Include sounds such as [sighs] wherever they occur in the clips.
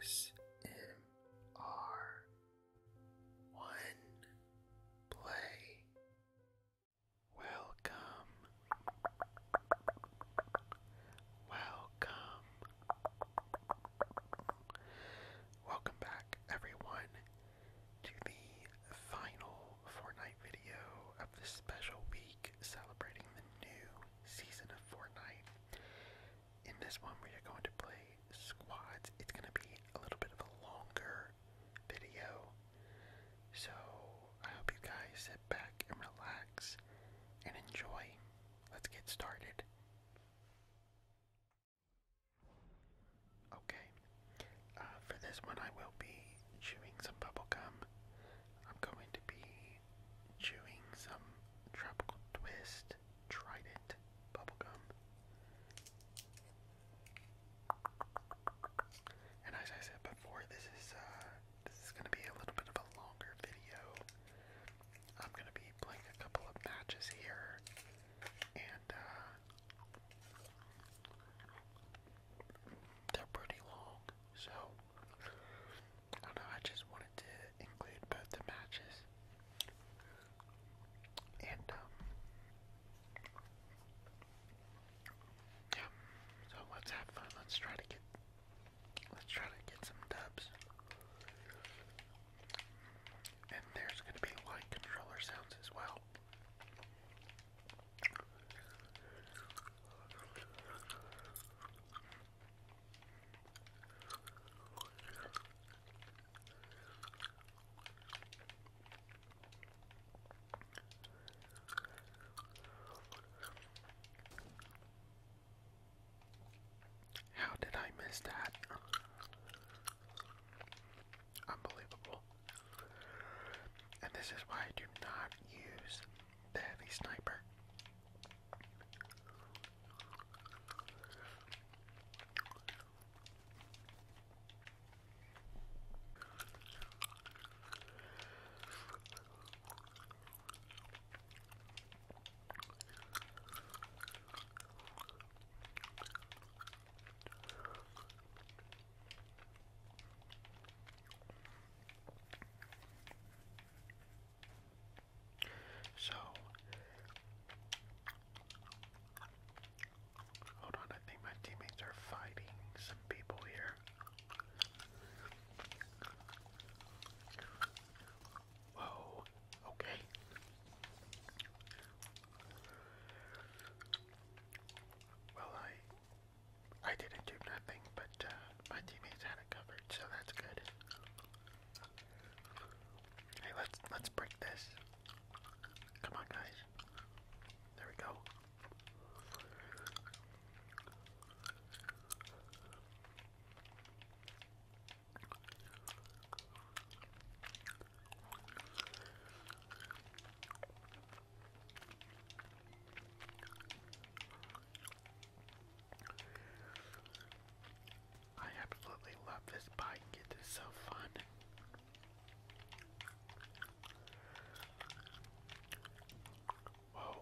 ASMR One Play Welcome Welcome Welcome back everyone to the final Fortnite video of this special week celebrating the new season of Fortnite. In this one, we are going to play squads. It's going to be a little bit of a longer video. So I hope you guys sit back and relax and enjoy. Let's get started. Okay, uh, for this one, I will be chewing some bubblegum. I'm going to be chewing some tropical twist trident bubblegum. And as I said before, this is uh, this is gonna be a little bit of a longer video. I'm gonna be playing a couple of matches here and uh, they're pretty long, so I don't know, I just wanted to include both the matches. And, um, yeah, so let's have fun. Let's try to get, let's try to get some dubs. And there's going to be light controller sounds as well. How did I miss that? Unbelievable. And this is why I do not use the heavy sniper. So hold on, I think my teammates are fighting some people here. Whoa, okay. Well, I I didn't do nothing, but but uh, my teammates had it covered, so that's good. Hey, let's let's break this. Come on, guys. There we go. I absolutely love this bike, it is so fun. Whoa.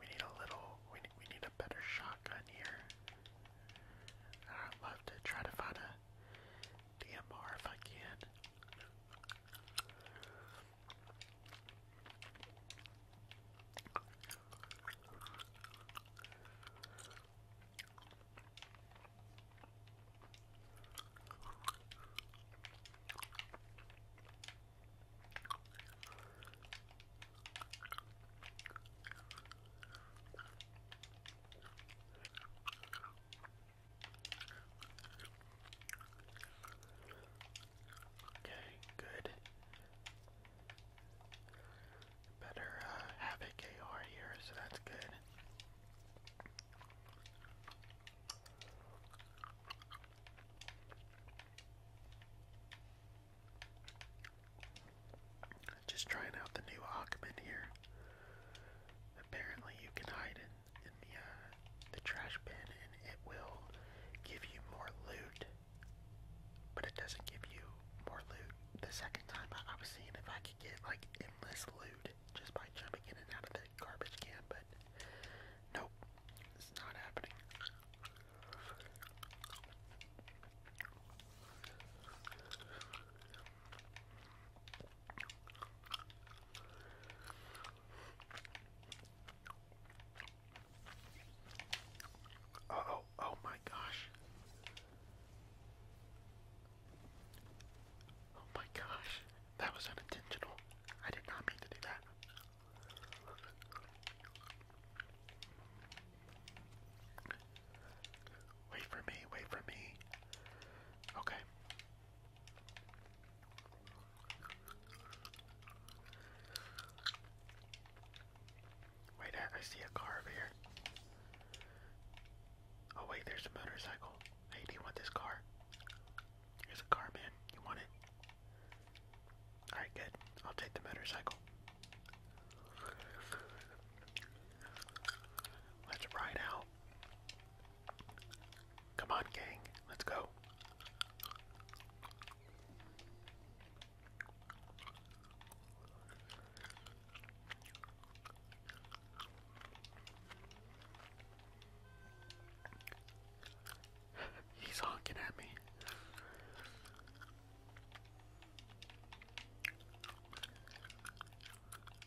We need a little, we, we need a better shotgun here. I'd love to try to find a DMR if I can. Okay, good. Better uh, have a KR here, so that's good. Just trying out the new Ackman here. Apparently you can hide in, uh, the, trash bin and it will give you more loot. But it doesn't give you more loot. The second time I was seeing if I could get like endless loot just by jumping in and out of the garbage can, but nope, it's not happening oh, oh my gosh. Oh my gosh. That was unintentional. I did not mean to do that. Wait for me, wait for me. Okay. Wait, I, see a car over here. Oh wait, there's a motorcycle. Hey, do you want this car? Here's a car, man. You want it? Alright, good. I'll take the motorcycle. Let's ride out. Come on, gang. Let's go. [laughs] He's honking at me.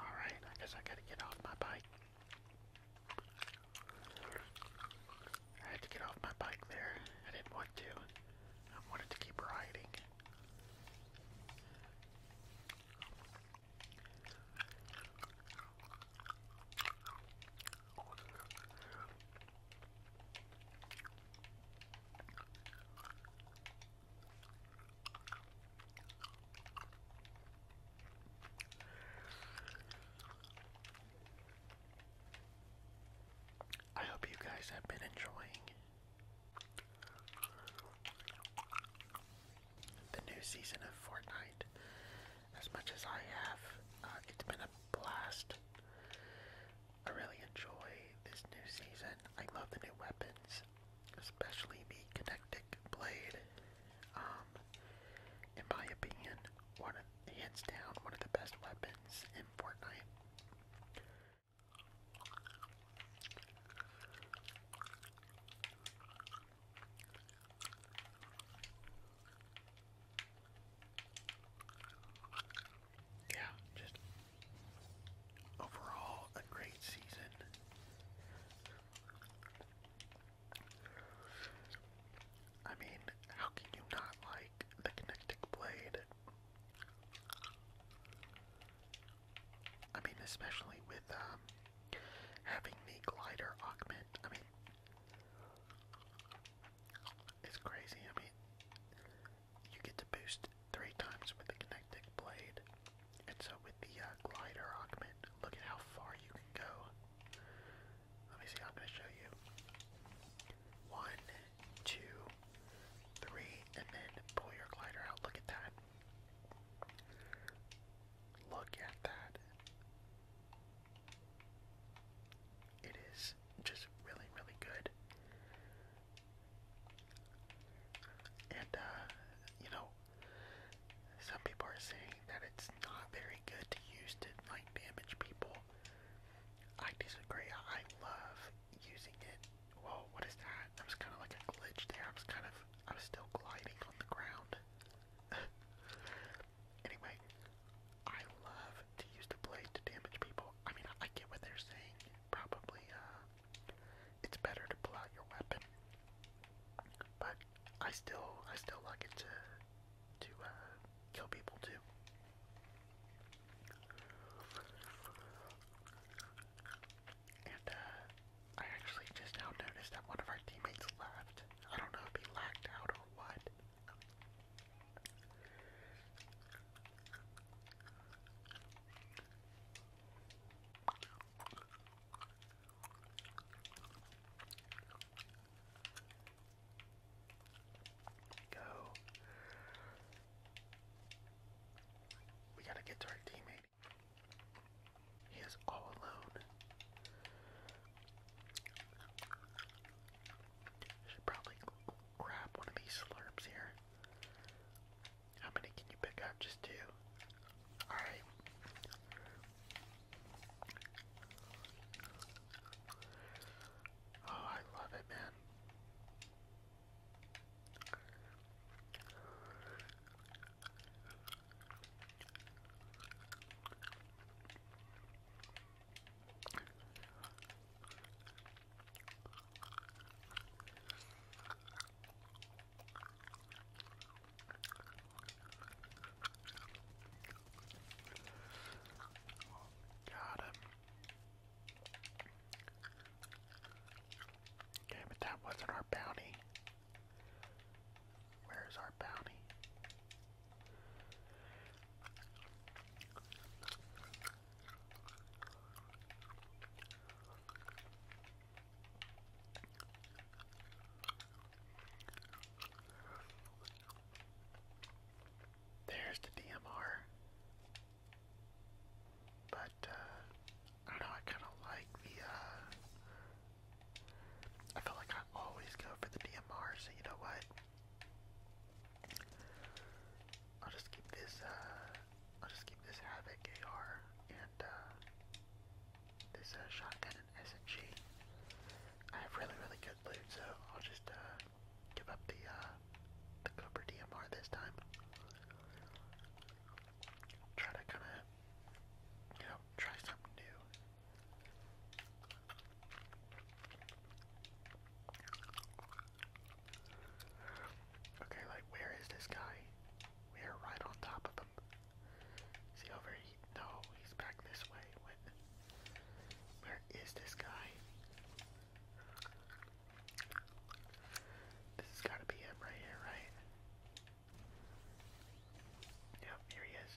Alright, I guess I gotta get off my bike. I had to get off my bike there. I didn't want to. I wanted to keep riding. I hope you guys have been enjoying the new season of Fortnite as much as I have. Uh, it's been a blast. I really enjoy this new season. I love the new weapons, especially the kinetic blade. Um, in my opinion, one hands down one of the best weapons in Fortnite yeah, just overall a great season. I mean, how can you not like the Kinetic Blade? I mean, especially with um, having the glider augment. I mean, it's crazy. I mean, you get to boost three times with the kinetic blade. And so with the uh, glider augment, look at how far you can go. Let me see, I'm going to show you. One, two, three, and then pull your glider out. Look at that. Look at that. It is just really, really good. And, uh, you know, some people are saying that it's not very good to use to, like, damage people. I disagree. I love using it. Whoa, what is that? That was kind of like a glitch there. I was kind of, I was still gliding on the ground. [laughs] anyway, I love to use the blade to damage people. I mean, I get what they're saying. Probably, uh, it's better to pull out your weapon, but I still, I still like it to, to uh, kill people too. And uh, I actually just now noticed that one of our teammates left. I don't know if he lagged out or what we go. We gotta get to our teammate. He is all alone. Should probably grab one of these slurps here. How many can you pick up? Just two. Alright. Oh, I love it, man. Got him. Okay, but that wasn't our bounty. Where's our bounty? There's the DMR. But, uh, I don't know, I kind of like the, uh, I feel like I always go for the DMR, so you know what? I'll just keep this, uh, I'll just keep this Havoc AR and, uh, this, uh, shotgun and SMG. I have really, really good loot, so I'll just, uh, give up the, uh, the Cobra DMR this time. Try to kinda, you know, try something new. Okay, like, where is this guy? We are right on top of him. Is over here? No, he's back this way. Where is this guy? This has gotta be him right here, right? Yep, here he is.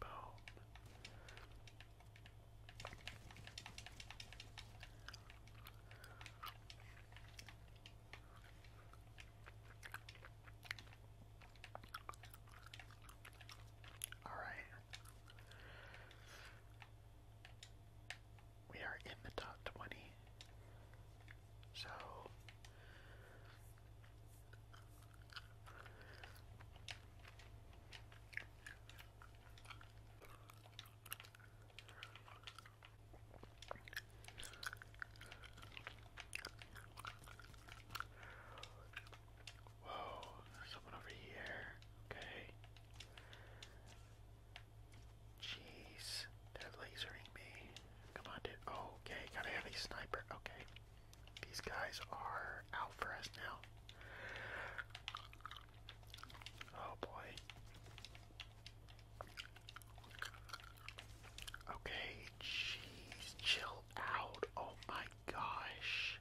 Boom. All right. We are in the top 20. So Whoa, someone over here. Okay. Jeez, they're lasering me. Come on, dude. Oh, okay, gotta have a sniper. Okay. These guys are out for us now. Oh boy. Okay, jeez, chill out. Oh my gosh.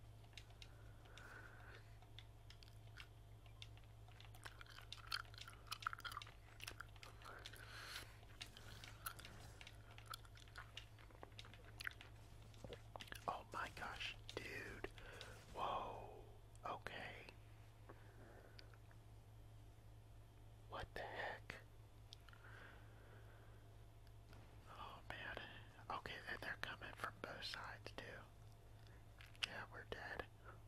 Oh my gosh, dude. Whoa. Okay. What the heck? Oh man. Okay, and they're coming from both sides too. Yeah, we're dead.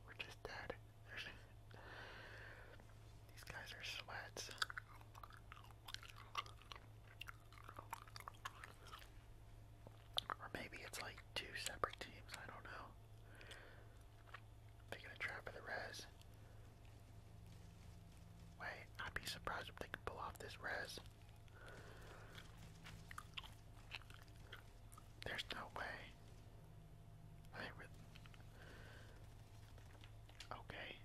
We're just dead. [laughs] These guys are sweats. Or maybe it's like two separate teams, I don't know. They get a trap for the res. Wait, I'd be surprised if they can pull off this res. There's no way. Okay.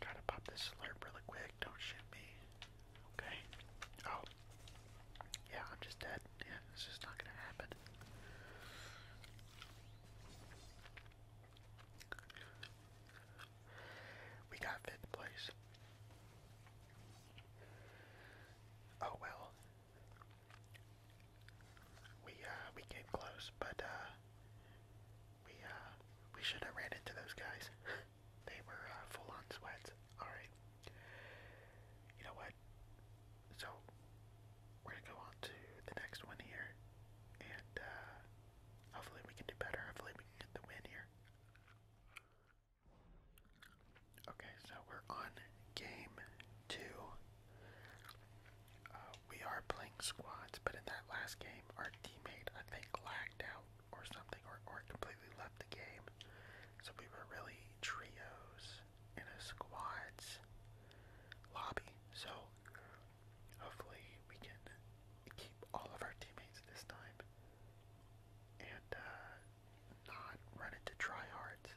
Try to pop this alert really quick. Don't shoot me. Okay. Oh. Yeah, I'm just dead. Yeah, it's just not gonna happen. We got fifth place. Oh well. We uh, we came close, but uh, we uh we should have ran into those guys. [laughs] they were uh, full on sweats. All right. You know what? So we're gonna go on to the next one here, and uh, hopefully we can do better. Hopefully we can get the win here. Okay, so we're on game two. Uh, we are playing squads, but in that last game, our teammate, I think, lagged out or something, or, or completely left the game. So we were really trios in a squads lobby. So hopefully we can keep all of our teammates this time and uh, not run into tryhards.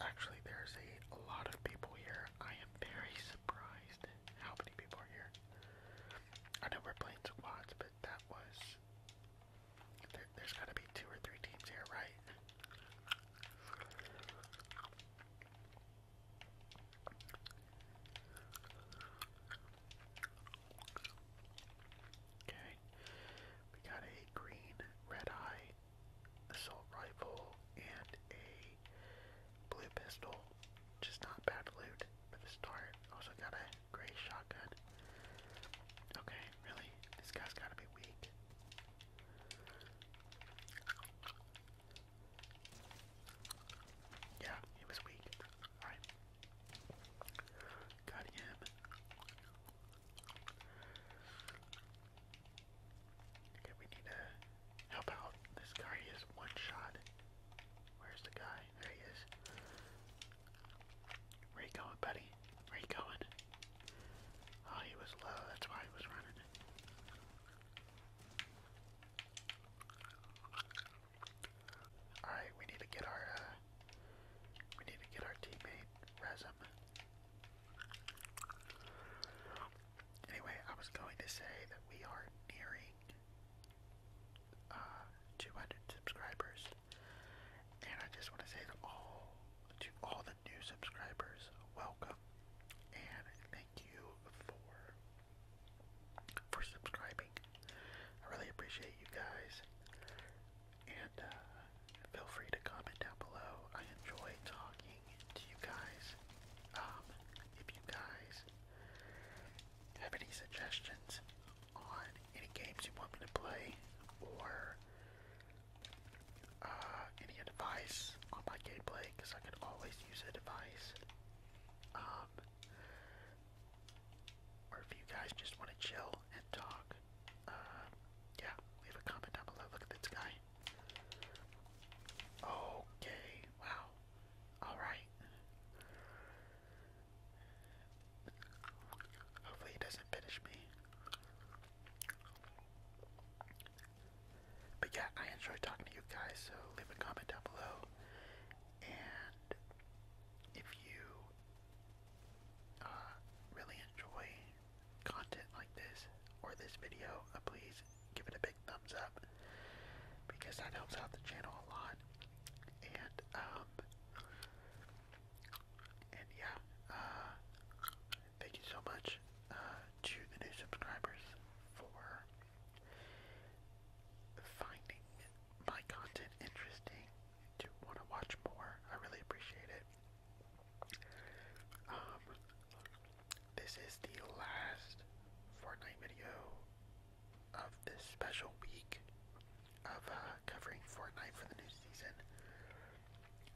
Actually, there's a, a lot of people here. I am very surprised how many people are here. I know we're playing squads, but that was. There, there's gotta be two or three teams here, right? Okay, we got a green red eye assault rifle, and a blue pistol. Just not bad loot for the start. Also got a gray shotgun. Okay, really? This guy's gotta be weak. Yeah, he was weak. Alright. Got him. Okay, we need to help out. This guy is one shot. Where's the guy? There he is. Where you going, buddy? Where you going? Oh, he was low. That's why he was running. All right, we need to get our uh, we need to get our teammate Rezum. Anyway, I was going to say that we are nearing uh, 200 subscribers, and I just want to say to all to all the new subscribers, welcome, and thank you for for subscribing. I really appreciate you guys, and uh, feel free to comment down below. I enjoy talking to you guys. Um, if you guys have any suggestions on any games you want me to play or uh, any advice on my gameplay, because I could always use advice. Um, or if you guys just want to chill and talk, uh, yeah, leave a comment down below. Look at this guy. Okay, wow. Alright. Hopefully he doesn't finish me. But yeah, I enjoy talking to you guys, so leave a comment down below. And if you uh, really enjoy content like this or this video, uh, please give it a big thumbs up because that helps out the channel a lot. And um, yeah, uh, thank you so much uh, to the new subscribers for finding my content interesting to want to watch more. I really appreciate it. Um, this is the last Fortnite video of this special week of uh, covering Fortnite for the new season.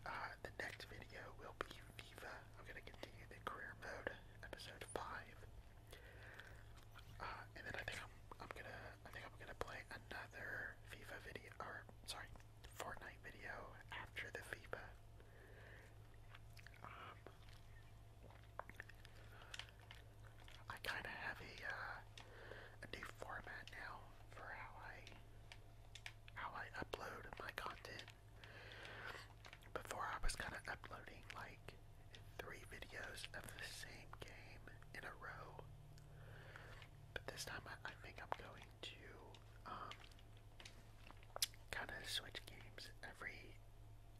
Uh, the next video will be FIFA. I'm gonna continue the career mode, episode five. Uh, and then I think I'm, I'm gonna I think I'm gonna play another FIFA video or sorry Fortnite video after the FIFA um, I kind of have a uh, a new format now for how I how I upload my content. Before I was kind of uploading like three videos of the same game in a row, but this time I think I'm going to um, kind of switch games every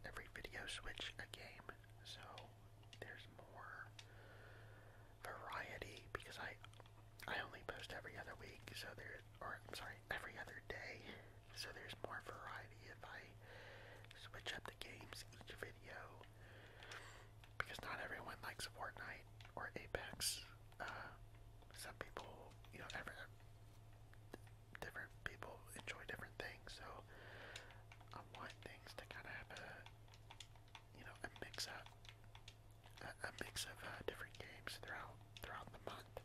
every video. Switch a game, so there's more variety because I I only post every other week, so there or I'm sorry, every other day. So there's more variety if I switch up the games each video because not everyone likes Fortnite or Apex. Uh, some people, you know, every, different people enjoy different things, so I want things to kind of have a, you know, a mix up, a, mix of uh, different games throughout throughout the month.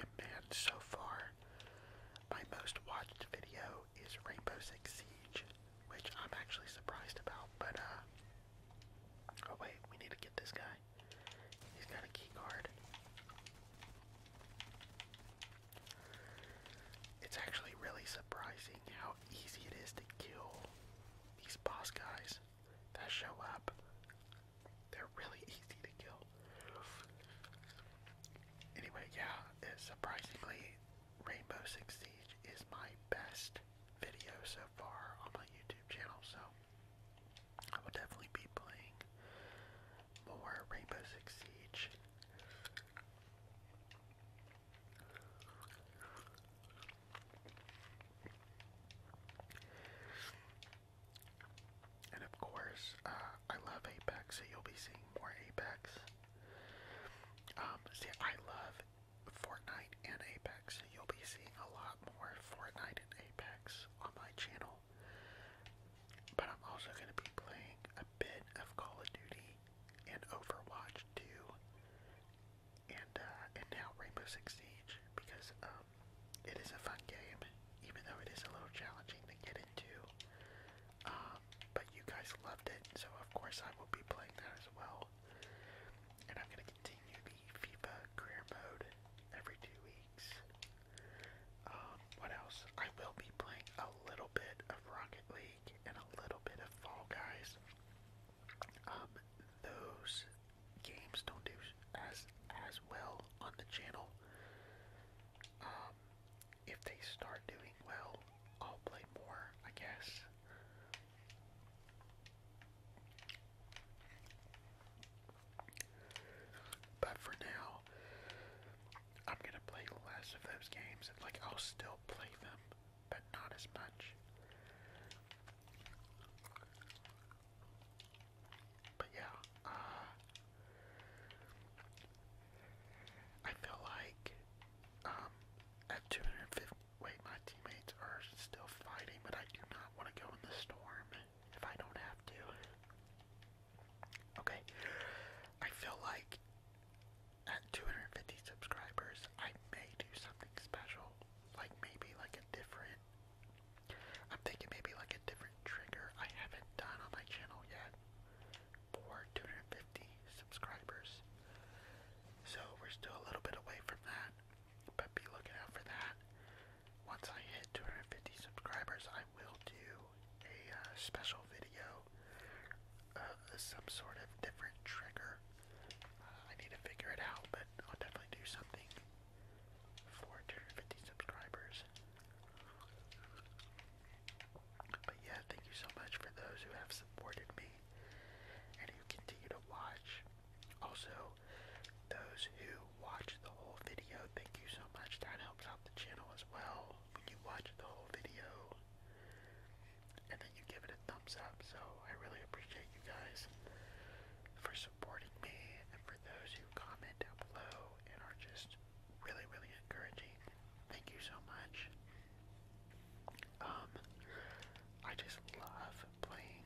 And man, so far, my most watched video is Rainbow Six Siege, which I'm actually surprised about, but uh oh wait, we need to get this guy. He's got a key card. It's actually really surprising how easy it is to kill these boss guys that show up really [laughs] easy to kill. Anyway, yeah, surprisingly, Rainbow Six Siege is my best video so far on my YouTube channel, so I will definitely be playing more Rainbow Six Siege. And of course, uh, I love Apex, so you'll be seeing more Apex. Um, see, I love Fortnite and Apex, so you'll be seeing a lot more Fortnite and Apex on my channel. But I'm also going to be playing a bit of Call of Duty and Overwatch too, and uh, and now Rainbow Six Siege because um, it is a fun game even though it is a little challenging to get in it too. Um, but you guys loved it, so of course I will be playing that as well. And I'm gonna continue the FIFA career mode every two weeks. Um, what else? I will be playing a little bit of Rocket League and a little bit of Fall Guys. Um, those games don't do as as well on the channel. Um, if they start doing well, I'll play more, I guess. But for now, I'm gonna play less of those games. Like, I'll still play them, but not as much. But yeah, uh, I feel like um, at 250, wait, my teammates are still fighting, but I do not want to go in the storm if I don't have to. Okay, I feel like at 250 subscribers, I may do something special, like maybe like a different. I'm thinking maybe like a different trigger I haven't done on my channel yet for 250 subscribers. So we're still a little bit away from that, but be looking out for that. Once I hit 250 subscribers, I will do a uh, special video uh, some sort of different trigger. Uh, I need to figure it out, but I'll definitely do something for 250 subscribers. But yeah, thank you so much for those who have supported me and who continue to watch. Also, those who watch the whole video, thank you so much. That helps out the channel as well when you watch the whole video and then you give it a thumbs up. So I really appreciate you guys for supporting me and for those who comment down below and are just really, really encouraging. Thank you so much. Um, I just love playing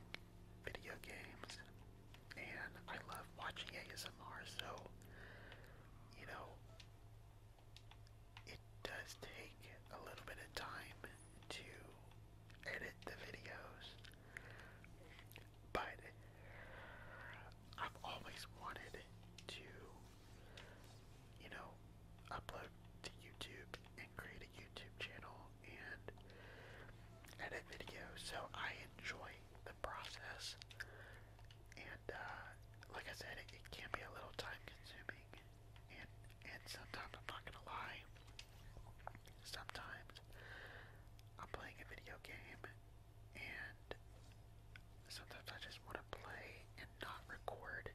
video games, and I love watching ASMR, so, you know, it does take a little bit of time to edit the videos but I've always wanted to, you know, upload to YouTube and create a YouTube channel and edit videos. So I enjoy the process, and uh, like I said, it, can be a little time consuming, and and sometimes I'm not going Sometimes I'm playing a video game and sometimes I just want to play and not record,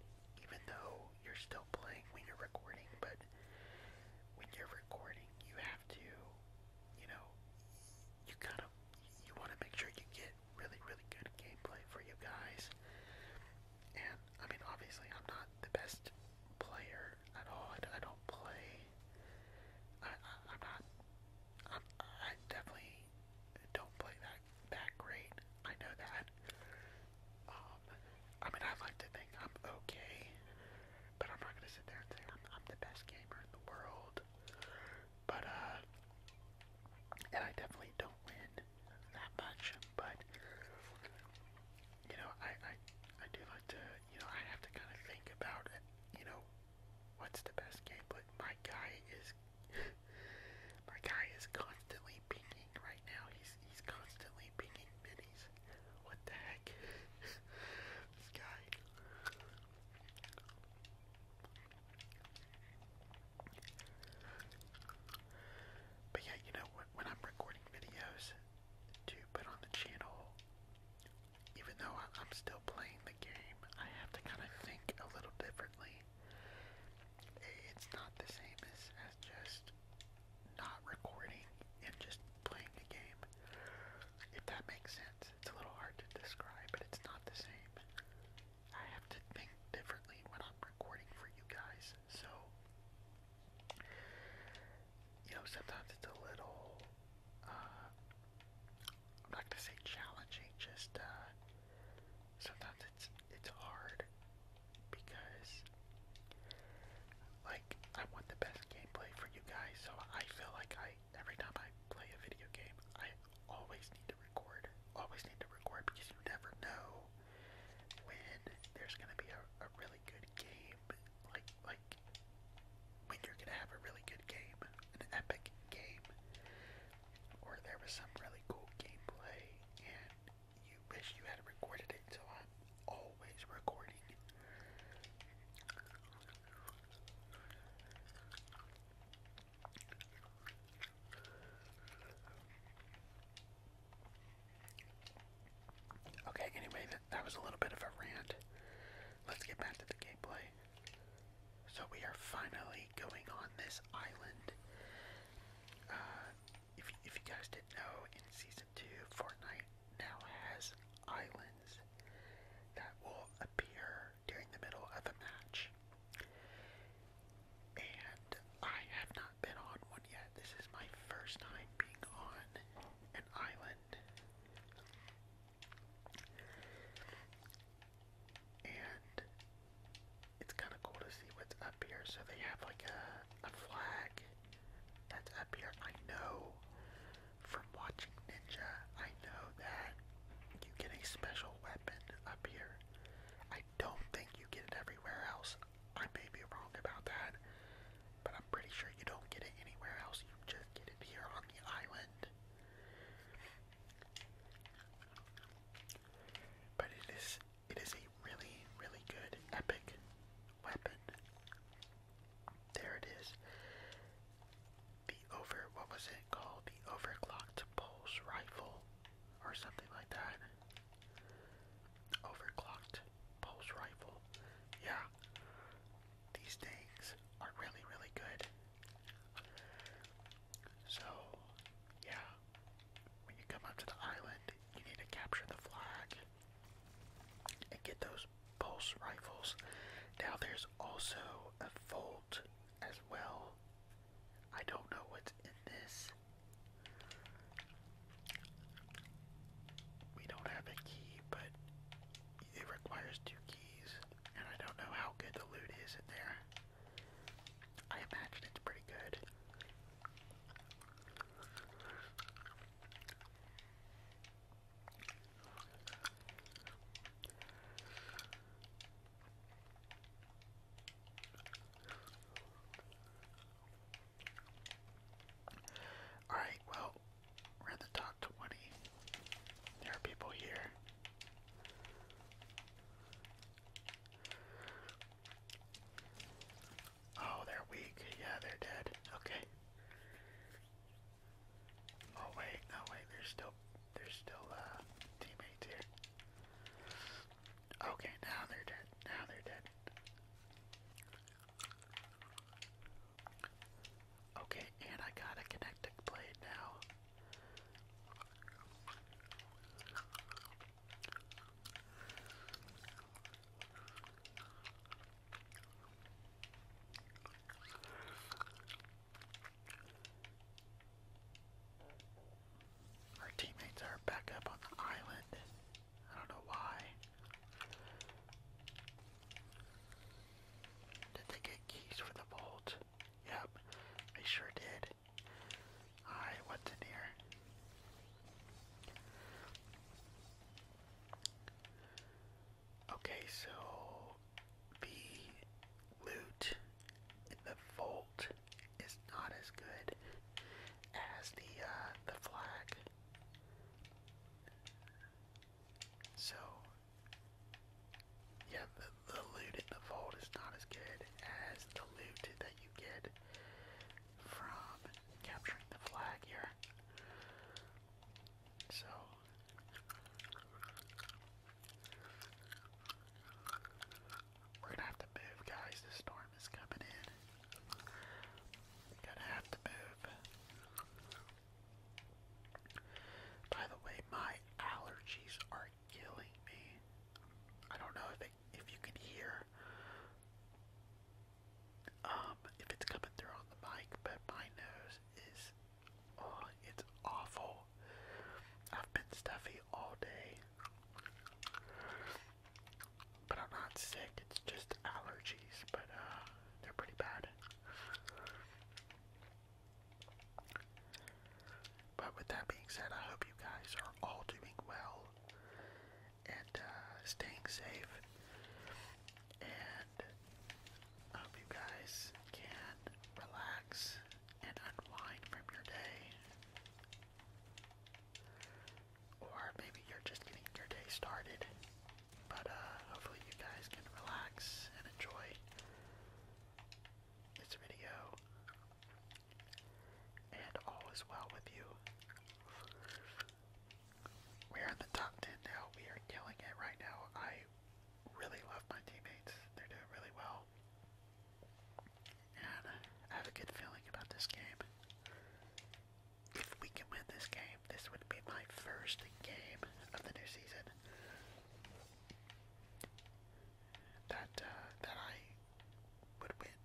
even though you're still playing when you're recording, but when you're recording, you have to, you know, you kind of, you want to make sure you get really, really good gameplay for you guys, and, I mean, obviously, I'm not the best player at all, I, I don't play, I'm not i definitely don't play that that great. I know that. Um, I mean, I like to think I'm okay, but I'm not gonna sit there and say I'm, the best gamer in the world. But uh, and I definitely don't win that much. But you know, I I do like to you know I have to kind of think about it. You know what's the best game, but my guy is [laughs] my guy is constantly pinging right now. He's he's constantly pinging minis. What the heck? [laughs] this guy. But yeah, you know, when, when I'm recording videos to put on the channel, even though I'm still playing the game, I have to kind of think a little differently. It's not the same as, as just not recording and just playing the game. If that makes sense, it's a little hard to describe, but it's not the same. I have to think differently when I'm recording for you guys, so you know, sometimes it's a little uh, i not to say challenging, just uh, sometimes it's it's hard because like I want the best gameplay for you guys, so I feel like I every time I play a video game, I always need to record. Always need to record because you never know when there's gonna be a, a really good game like like when you're gonna have a really good game, an epic game, or there was some really cool gameplay and you wish you had recorded it, so I'm always recording. Okay, anyway, that, that was a little bit of a rant. Let's get back to the gameplay. So we are finally going on this island. Uh, if, if you guys didn't know, in Season 2, Fortnite now has islands that will appear during the middle of a match. And I have not been on one yet. This is my first time being on an island. And it's kind of cool to see what's up here. So they have like a, a flag that's up here. I know from watching Ninja, I know that you get a special weapon up here. I don't think you get it everywhere else. I may be wrong about that, but I'm pretty sure you don't get it anywhere else. You just get it here on the island. But it is it is a really, really good epic weapon. There it is. The over what was it called? The overclocked pulse rifle or something like that. Overclocked pulse rifle. Yeah. These things are really, really good. So, yeah, when you come up to the island, you need to capture the flag and get those pulse rifles. Now, there's also a Volt as well. I don't know what's in this. We don't have a key, but it requires two keys, and I don't know how good the loot is in there. I imagine it's pretty good. Alright, well, we're at the top 20. There are people here. Oh, they're weak. Yeah, they're dead. Okay. Oh wait, no wait, there's still there's still uh teammates here. Okay, now they're dead. Now they're dead. Okay, and I got a connecting blade now. Our teammates are back up on the island. I don't know why. Did they get keys for the vault? Yep, they sure did. Alright, what's in here? Okay, so the loot in the vault is not as good as the uh, the flag. So yeah, the, loot in the vault is not as good as the loot that you get from capturing the flag here. So. We're gonna have to move, guys. The storm is coming in. Gonna have to move. By the way, my allergies are killing me. I don't know if if you can hear um if it's coming through on the mic, but my nose is oh it's awful. I've been stuffy all day. But I'm not sick, it's just allergies, but uh, they're pretty bad. But with that being said, I hope you guys are all doing well and uh, staying safe. And I hope you guys can relax and unwind from your day. Or maybe you're just getting your day started. But uh, hopefully you guys can relax and enjoy this video and all is well with you. We are in the top 10 now. We are killing it right now. I really love my teammates. They're doing really well. And I have a good feeling about this game. If we can win this game, this would be my first game of the new season that uh, that I would win.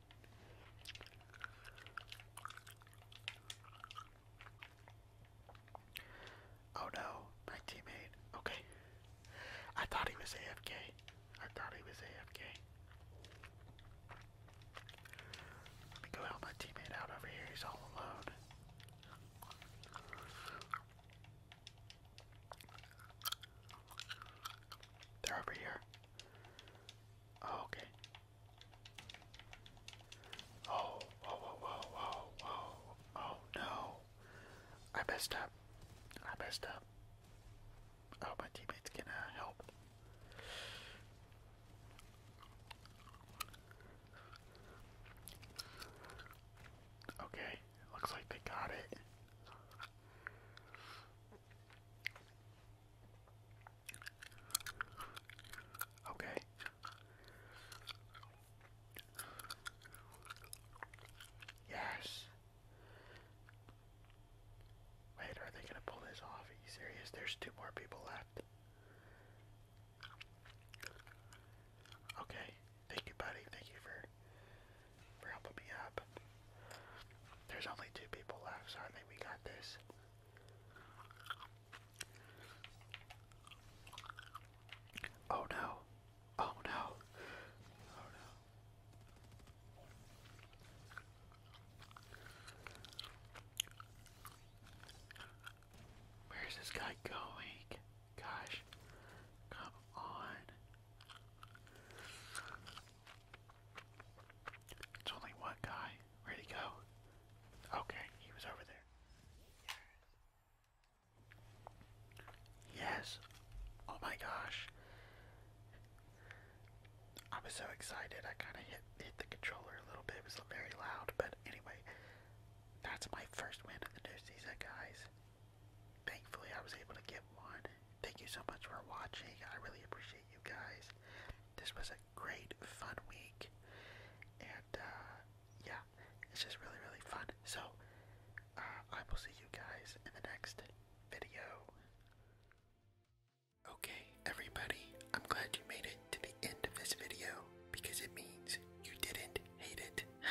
Oh no, my teammate. Okay. I thought he was AFK. I thought he was AFK. Let me go help my teammate out over here. He's all alone. They're over here. Oh, okay. Oh, whoa, oh, oh, whoa, oh, whoa, whoa, whoa. Oh, no. I messed up. I messed up. Oh, my teammate's gonna help. Okay, looks like they got it. Okay. Yes. Wait, are they gonna pull this off? Are you serious? There's two more people left. Okay, thank you, buddy. Thank you for for helping me up. There's only two people left, so I think we got this. Oh no. Oh no. Oh no. Where is this guy going? Gosh, come on. It's only one guy. Where'd he go? Okay, he was over there. Yes. Oh my gosh. I was so excited. I kind of hit hit the controller a little bit. It was very loud, but anyway, that's my first win of the new season, guys. Thankfully, I was able to get one. Thank you so much for watching. I really appreciate you guys. This was a great, fun week. And, uh, yeah, it's just really, really fun. So, uh, I will see you guys in the next video. Okay, everybody, I'm glad you made it to the end of this video because it means you didn't hate it. [sighs]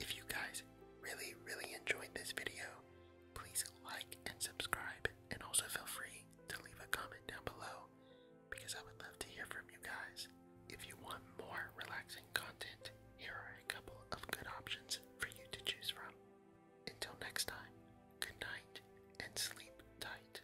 if you guys really, really enjoyed this video, please like and subscribe, and also feel free to leave a comment down below because I would love to hear from you guys. If you want more relaxing content, here are a couple of good options for you to choose from. Until next time, good night and sleep tight.